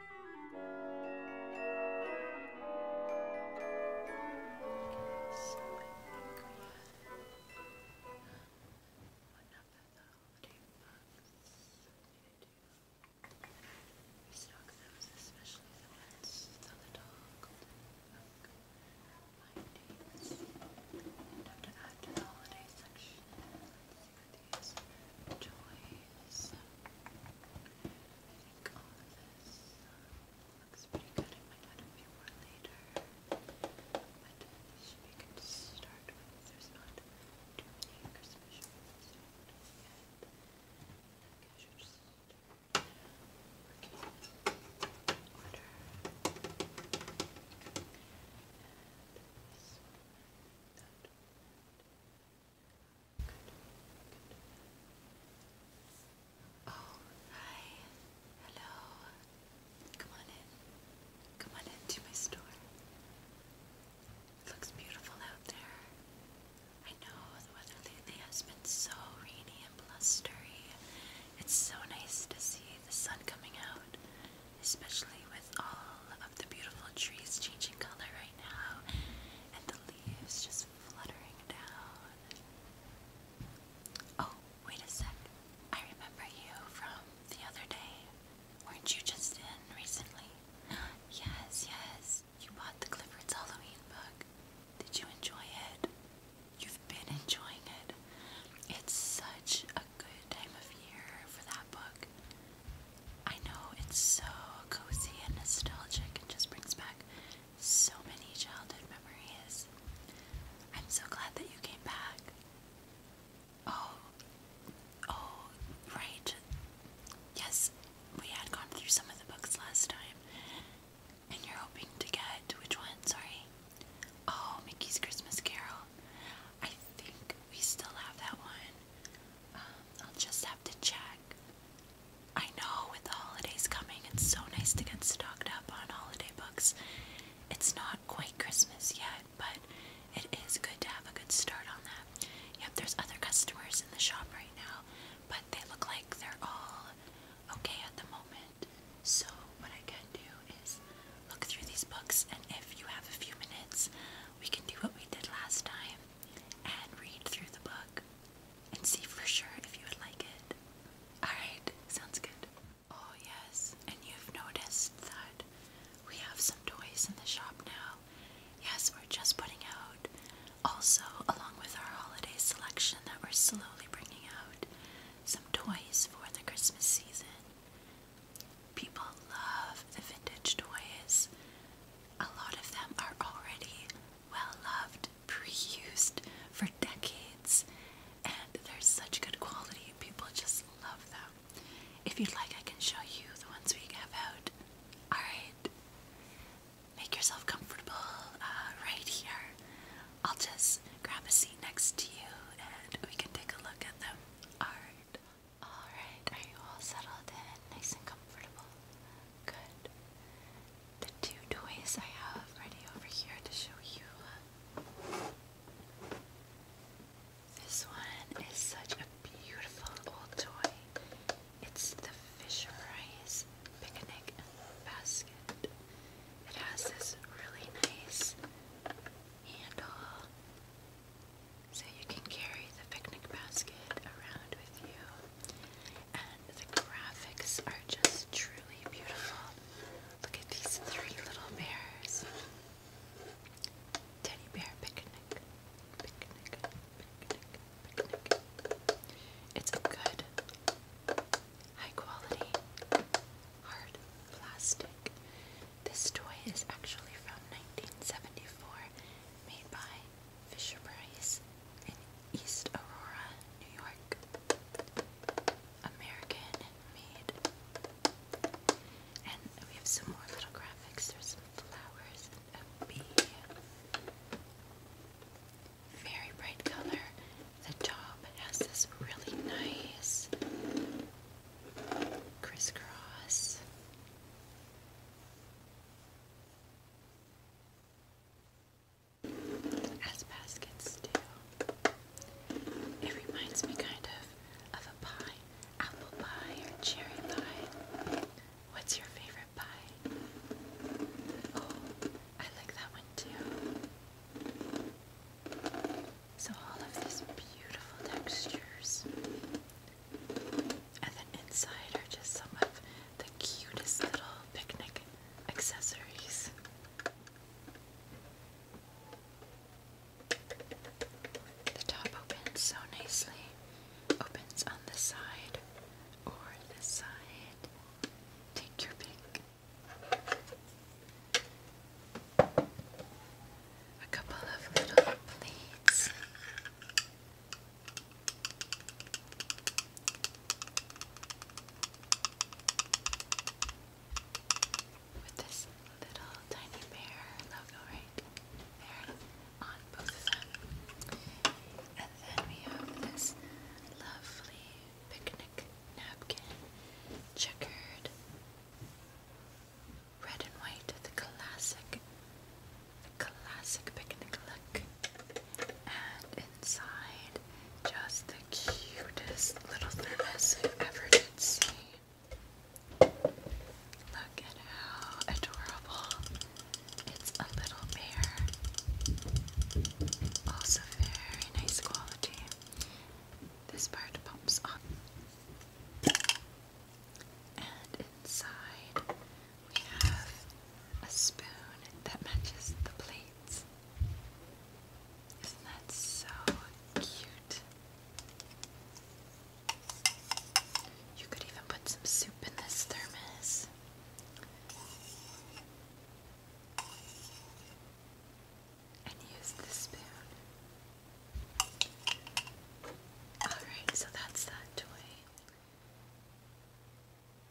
We stock those, especially the ones with the little golden milk bindings. And have to add to the holiday section. Let's see what these are. Toys. I think think all of this looks pretty good. I might add a few later, but this should be good to start with. There's not too many Christmas shorts yet. I should just start working in order hi. Hello. Come on in. Come on in to my store. It looks beautiful out there. I know the weather lately has been so rainy and blustery. It's so nice to see the sun coming out, especially with all of the beautiful trees changing color right now and the leaves just fluttering down. Oh, wait a sec. I remember you from the other day. Weren't you just in recently? Yes, yes. You bought the Clifford's Halloween book. Did you enjoy it? You've been enjoying it. It's such a good time of year for that book. I know it's so cozy and nostalgic and just brings back so many childhood memories. I'm so glad that you came back. Oh, oh, right. Yes, we had gone through some of the books last time. And you're hoping to get which one? Sorry. Oh, Mickey's Christmas Carol. I think we still have that one. I'll just have to check. I know with the holidays coming, it's so nice to get stocked up on holiday books. It's not quite Christmas yet, but it is good to have a good start on that. Yep, there's other customers in the shop right now, but they look like they're all okay at the moment. So, what I can do is look through these books, and if you have a few minutes, we can do what we did last time and read through the book and see for sure if you would like it. Alright, sounds good. Oh, yes, and you've noticed that we have some toys in the shop now. Yes, we're just putting out also, along with our holiday selection that we're slowly bringing out, some toys for the Christmas season. People love the vintage toys. A lot of them are already well loved, pre for decades, and they're such good quality. People just love them. If you'd like, I can show you the ones we have out. Alright, make yourself comfortable uh, right here. I'll just grab a seat next to you and we can take a look at them. Alright. Alright, are you all settled in? Nice and comfortable? Good. The two toys I have ready over here to show you. This one is such a beautiful old toy. It's the Fisher Price Picnic Basket. It has this really nice handle so you can carry the picnic basket around with you and the graphics are just truly beautiful. Look at these three little bears. Teddy bear picnic. Picnic, picnic, picnic. It's a good, high quality, hard plastic. This toy is actually from 1974, made by Fisher Price in East Aurora, New York. American made. And we have some more little graphics. There's some flowers Very bright color. The top has this really nice crisscross as baskets do. It reminds me kind of of a pie, apple pie or cherry pie. What's your favorite pie? Oh, I like that one too. So all of these beautiful textures. And then inside are just some of the cutest little picnic accessories. The top opens so nicely. Opens on this side or this side. Take your pick. A couple of little plates. With this little tiny bear logo right there on both of them. And then we have this lovely picnic napkin, checkered red and white, the classic classic picnic look. And inside, just the cutest little thermos i ever did see. Look at how adorable. It's a little bear. Also very nice quality. This part pops on. And inside, we have a spoon that matches the plates. Isn't that so cute? You could even put some soup in this thermos. And use the spoon. Alright, so that's that toy.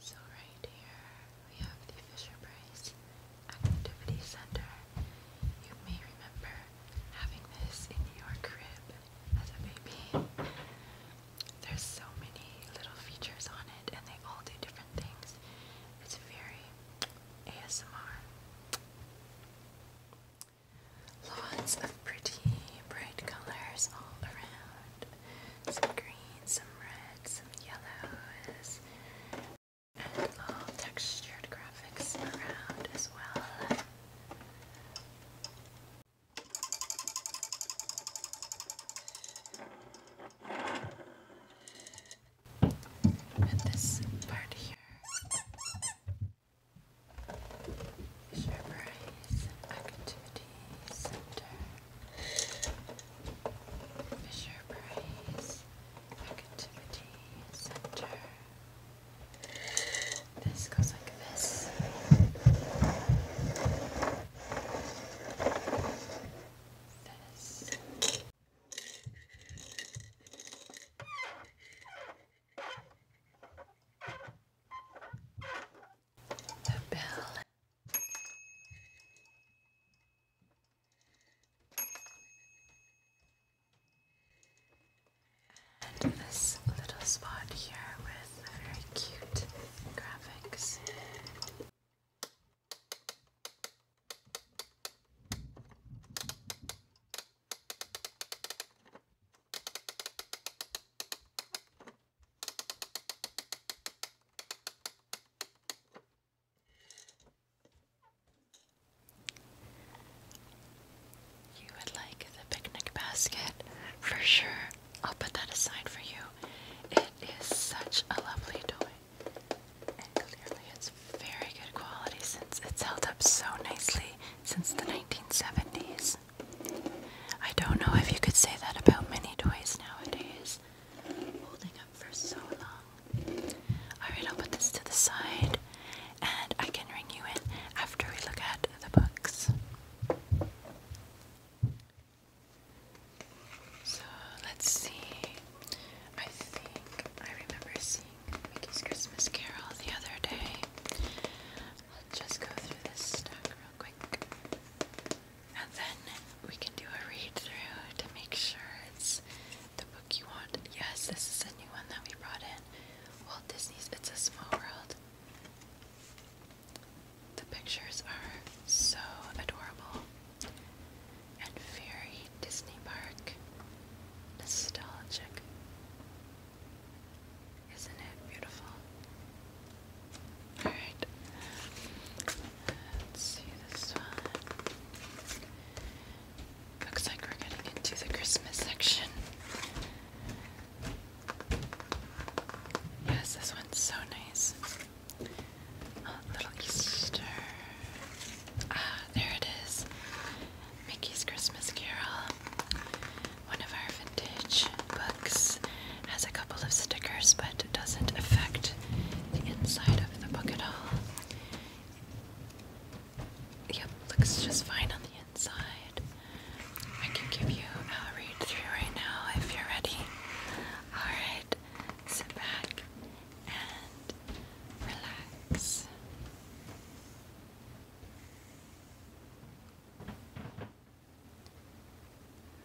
So right here we have the Fisher Price Activity Center. You may remember having this in your crib as a baby. There's so many little features on it and they all do different things. It's very ASMR. Lots of pretty bright colors all around some green, some red, some yellows, and all textured graphics around as well. And this part here is your activity center. Fisher Price Activity Center. This goes like this. This. The bell and this little spot here with very cute graphics. You would like the picnic basket for sure. I'll put that aside for you. It is such a lovely toy. And clearly it's very good quality since it's held up so nicely since the 1970s. I don't know if you could say that about many toys nowadays. Holding up for so long. Alright, I'll put this to the side and I can ring you in after we look at the books. So let's see. I think I remember seeing Mickey's Christmas Carol the other day. Let's just go through this stack real quick. And then we can do a read through to make sure it's the book you want. Yes, this is a new one that we brought in. Walt Disney's It's a Small World. The pictures are so adorable. And very Disney Park. Nostalgic. Isn't it beautiful? Alright. Let's see this one. Looks like we're getting into the Christmas section. Yes, this one's so nice. little Easter. Ah, there it is. Mickey's Christmas Carol. One of our Ditch Books has a couple of stickers, but doesn't affect the inside of the book at all. Yep, looks just fine on the inside. I can give you a read through right now if you're ready. Alright, sit back and relax.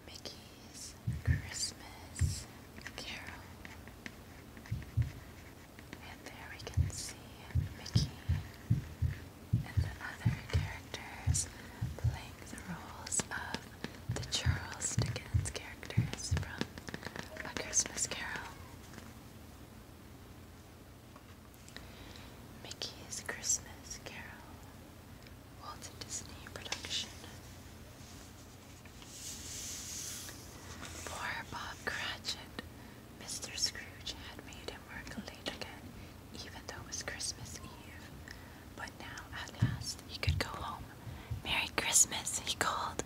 Mickey's Christmas Carol. And there we can see Mickey and the other characters playing the roles of the Charles Dickens characters from A Christmas Carol. Mickey's Christmas Carol Walt Disney production. Poor Bob Cratchit. Mr. Scrooge had made him work late again, even though it was Christmas Eve. But now, at last, he could go home. Merry Christmas, he called.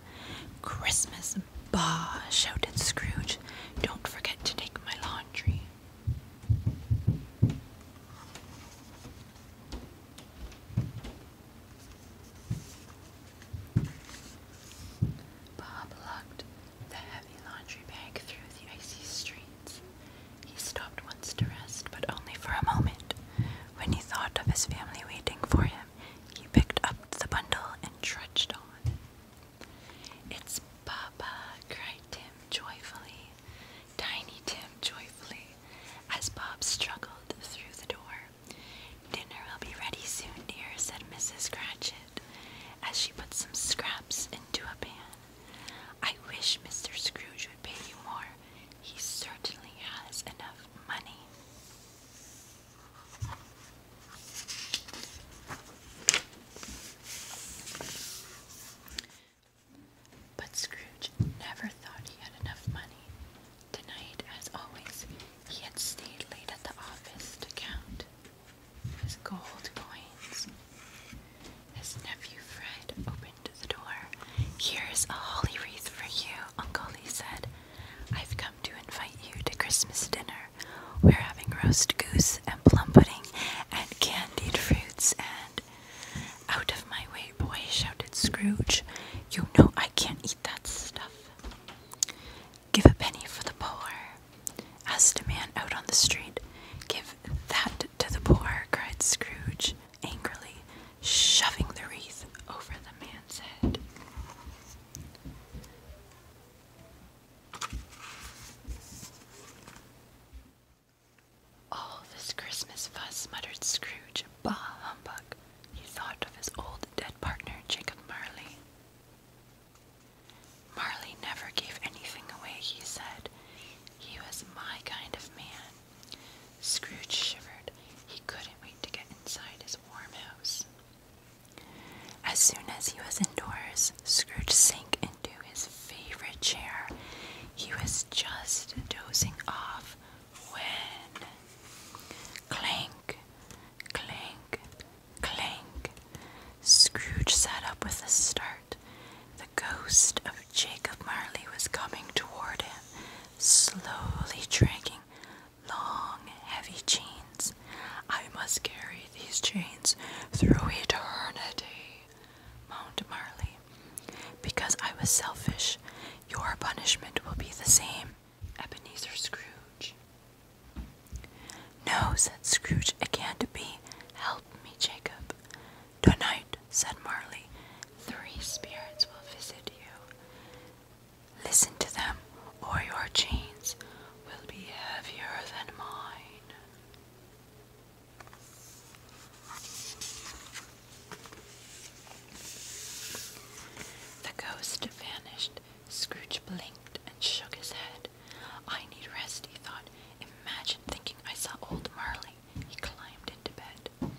Christmas, bah, shouted Scrooge. Don't forget to take my laundry. Bob lugged the heavy laundry bag through the icy streets. He stopped once to rest, but only for a moment. When he thought of his family waiting for him, he picked up the bundle and trudged on. It's Papa, cried Tim joyfully, Tiny Tim joyfully, as Bob struggled through the door. Dinner will be ready soon, dear, said Mrs. Cratchit, as she put some scraps into a pan. I wish Mr. Scrooge would pay you more. He certainly has enough money. But Scrooge never thought he had enough money. Tonight, as always, he had stayed late at the office to count his gold coins. His nephew Fred opened the door. Here's a holly wreath for you, Uncle, he said. I've come to invite you to Christmas dinner. We're having roast goose and plum pudding and candied fruits and out of my way, boy, shouted Scrooge. You know I can't eat that stuff. Give a penny for the poor. Asked a man out on the street. Give that to the poor, cried Scrooge angrily, shoving the wreath over the man's head. All this Christmas fuss, muttered Scrooge. Bah humbug! He thought of his old dead partner, Jacob Marley. Marley never gave anything away, he said. He was my kind of man. Scrooge shivered. He couldn't wait to get inside his warm house. As soon as he was indoors, Scrooge sank into his favorite chair. He was just dozing off when clank, clank, clank. Scrooge sat up with a start. The ghost of Jacob Marley was coming toward him, slowly dragging long, heavy chains. I must carry these chains through eternity, moaned Marley. Because I was selfish, your punishment will be the same, Ebenezer Scrooge. No, said Scrooge, it can't be. Help me, Jacob. Tonight, said Marley, "three spirits will visit you. Listen to them, or your chains will be heavier than mine. The ghost vanished. Scrooge blinked and shook his head. I need rest, he thought. Imagine thinking I saw old Marley. He climbed into bed.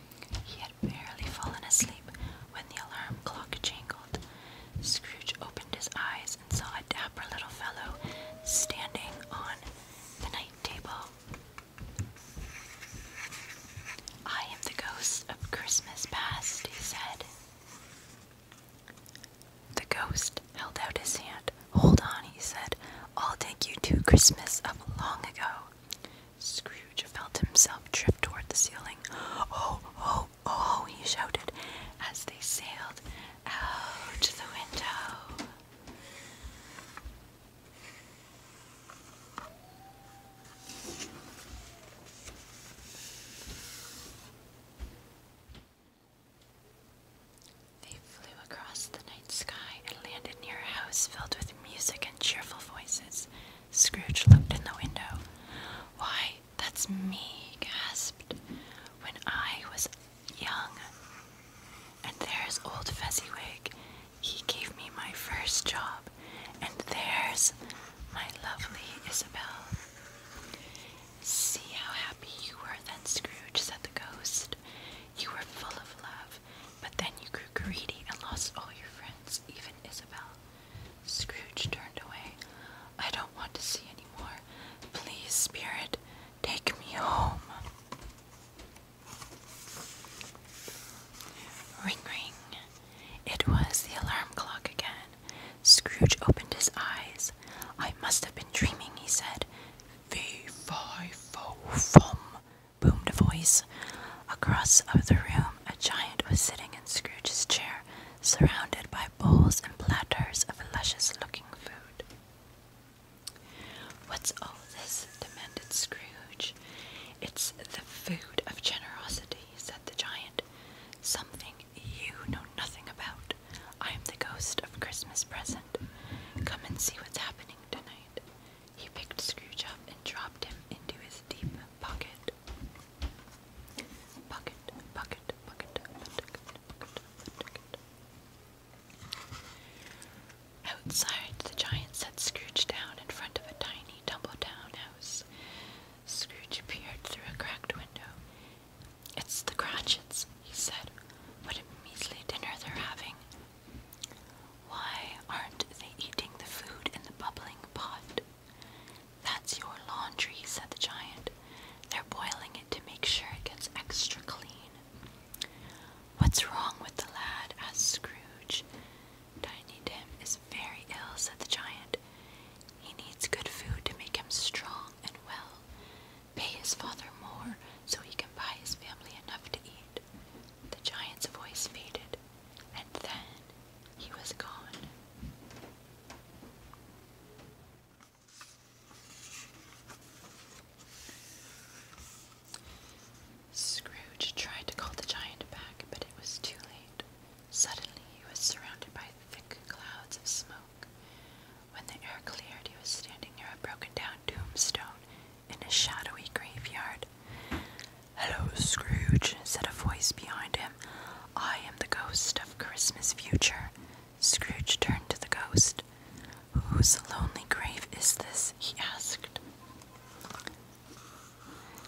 He had barely fallen asleep when the alarm clock jangled. Scrooge opened his eyes and saw a dapper little fellow standing on the night table. I am the ghost of Christmas past, he said. The ghost held out his hand. Hold on, he said. I'll take you to Christmas of long ago. Scrooge felt himself drift toward the ceiling. Oh, oh, oh, he shouted as they sailed out the window. They flew across the night sky and landed near a house filled with music and cheerful voices. Scrooge looked in the window. Why, that's me, he gasped. When I was young, and there's old Fezziwig. He gave me my first job. And there's my lovely Isabel. See how happy you were then, Scrooge, said the ghost. You were full of love, but then you grew greedy and lost all your friends, even Isabel. Scrooge turned away. I don't want to see any more. Please, Spirit, take me home. Ring, ring. It was the alarm clock again. Scrooge opened his eyes. I must have been dreaming, he said. Fee, fi, fo, fum, boomed a voice. Across the room, a giant was sitting in Scrooge's chair, surrounded by bowls and platters of luscious looking food. What's all this? demanded Scrooge. It's the food of generosity, said the giant. Something you know nothing about. I am the ghost of Christmas present. Come and see what's happening tonight. He picked Scrooge up and dropped him into his deep pocket. Pocket, pocket, pocket, pocket, pocket, Outside, the giant sat Scrooge down in front of a tiny, tumble-down house. Scrooge peered through a cracked window. It's the Cratchits, he said. What a measly dinner they're having. Why aren't they eating the food in the bubbling pot? That's your laundry, said the giant. They're boiling it to make sure it gets extra clean. What's wrong with the lad? asked Scrooge. Tiny Tim is very ill, said the giant. He needs good food to make him strong and well. Pay his father more so he can buy his family enough to eat. The giant's voice faded, and then he was gone. Scrooge tried to call the giant back, but it was too late. Suddenly, he was surrounded by thick clouds of smoke. When the air cleared, he was standing near a broken down tombstone in a shadowy graveyard. Hello, Scrooge, said a voice behind him. I am the ghost of Christmas future. Scrooge turned to the ghost. Whose lonely grave is this? he asked.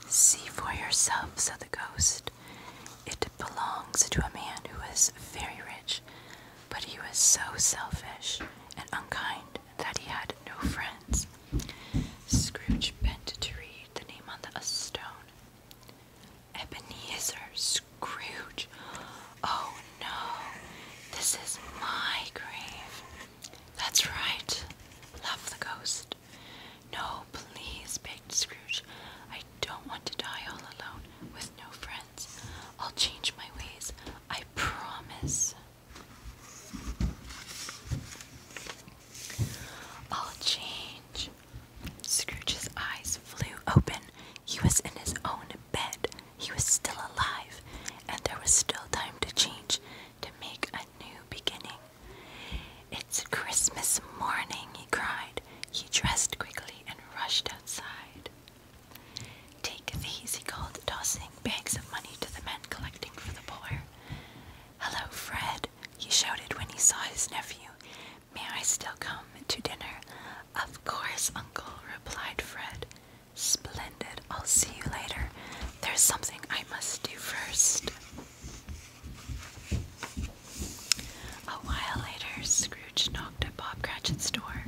See for yourself, said the ghost. It belongs to a man who was very rich, but he was so selfish and unkind that he had no friends. Scrooge bent to read the name on the stone. Ebenezer Scrooge. Oh no, this is my grave. That's right. Love the ghost. No, please, begged Scrooge. I don't want to die all alone with no friends. I'll change my ways. I promise. I'll change. Scrooge's eyes flew open. He was in his own bed. He was still alive, and there was still time to change to make a new beginning. It's Christmas morning, he cried. He dressed quickly and rushed outside. Take these, he called, tossing bags of money to the men collecting for the poor. Hello, Fred, he shouted when he saw his nephew. May I still come to dinner? Of course, uncle, replied Fred. Splendid. I'll see you later. There's something I must do first. A while later, Scrooge knocked at Bob Cratchit's door.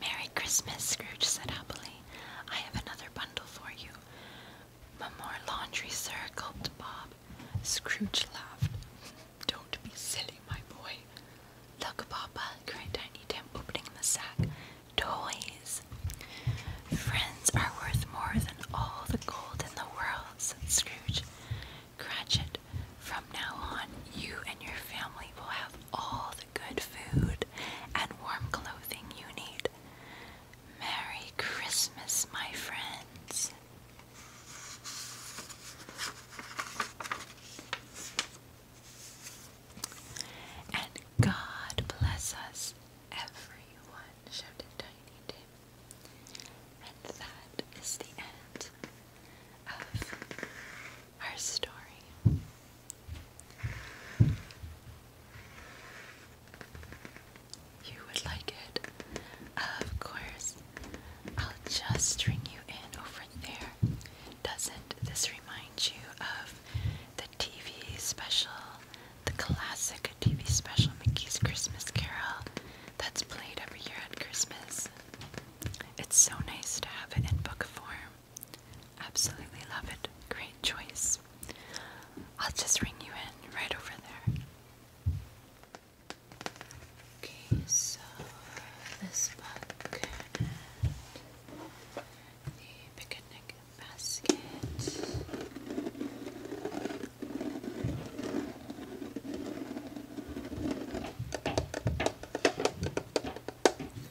Merry Christmas, Scrooge said happily. I have another bundle for you. More laundry, sir, gulped Bob. Scrooge laughed. Don't be silly, my boy. Look, Papa, cried Tiny Tim, opening the sack toys. Friends are worth more than all the gold in the world, said Scrooge. Cratchit, from now on, you and your family will have all the good food and warm clothing you need. Merry Christmas, my friends. And God bless us, everyone, And that is the end of our story. You would like it? Of course. I'll just string you in over there. Doesn't this reminds you of the TV special, the classic TV special, Mickey's Christmas Carol, that's played every year at Christmas? It's so nice to have it in book form. Absolutely love it. Great choice. I'll just ring you in right over there. Okay, so this book the picnic basket.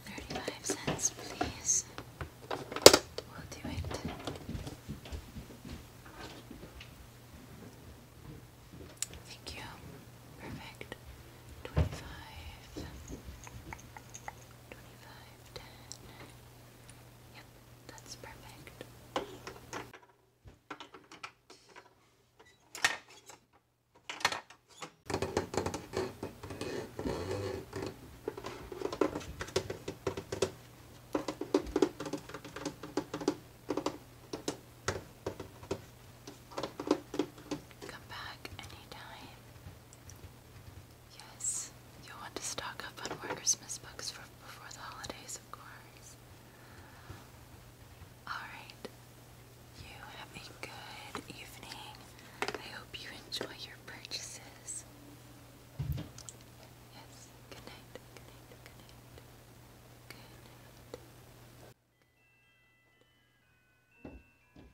Thirty-five cents, please. We'll do it. Thank you. Perfect. Twenty-five. Twenty-five. Yep, that's perfect. Come back anytime. Yes, you'll want to stock up on more Christmas books for before the holidays, of course. Alright, you have a good evening. I hope you enjoy your purchases. Yes, good night, good night, good night, good night.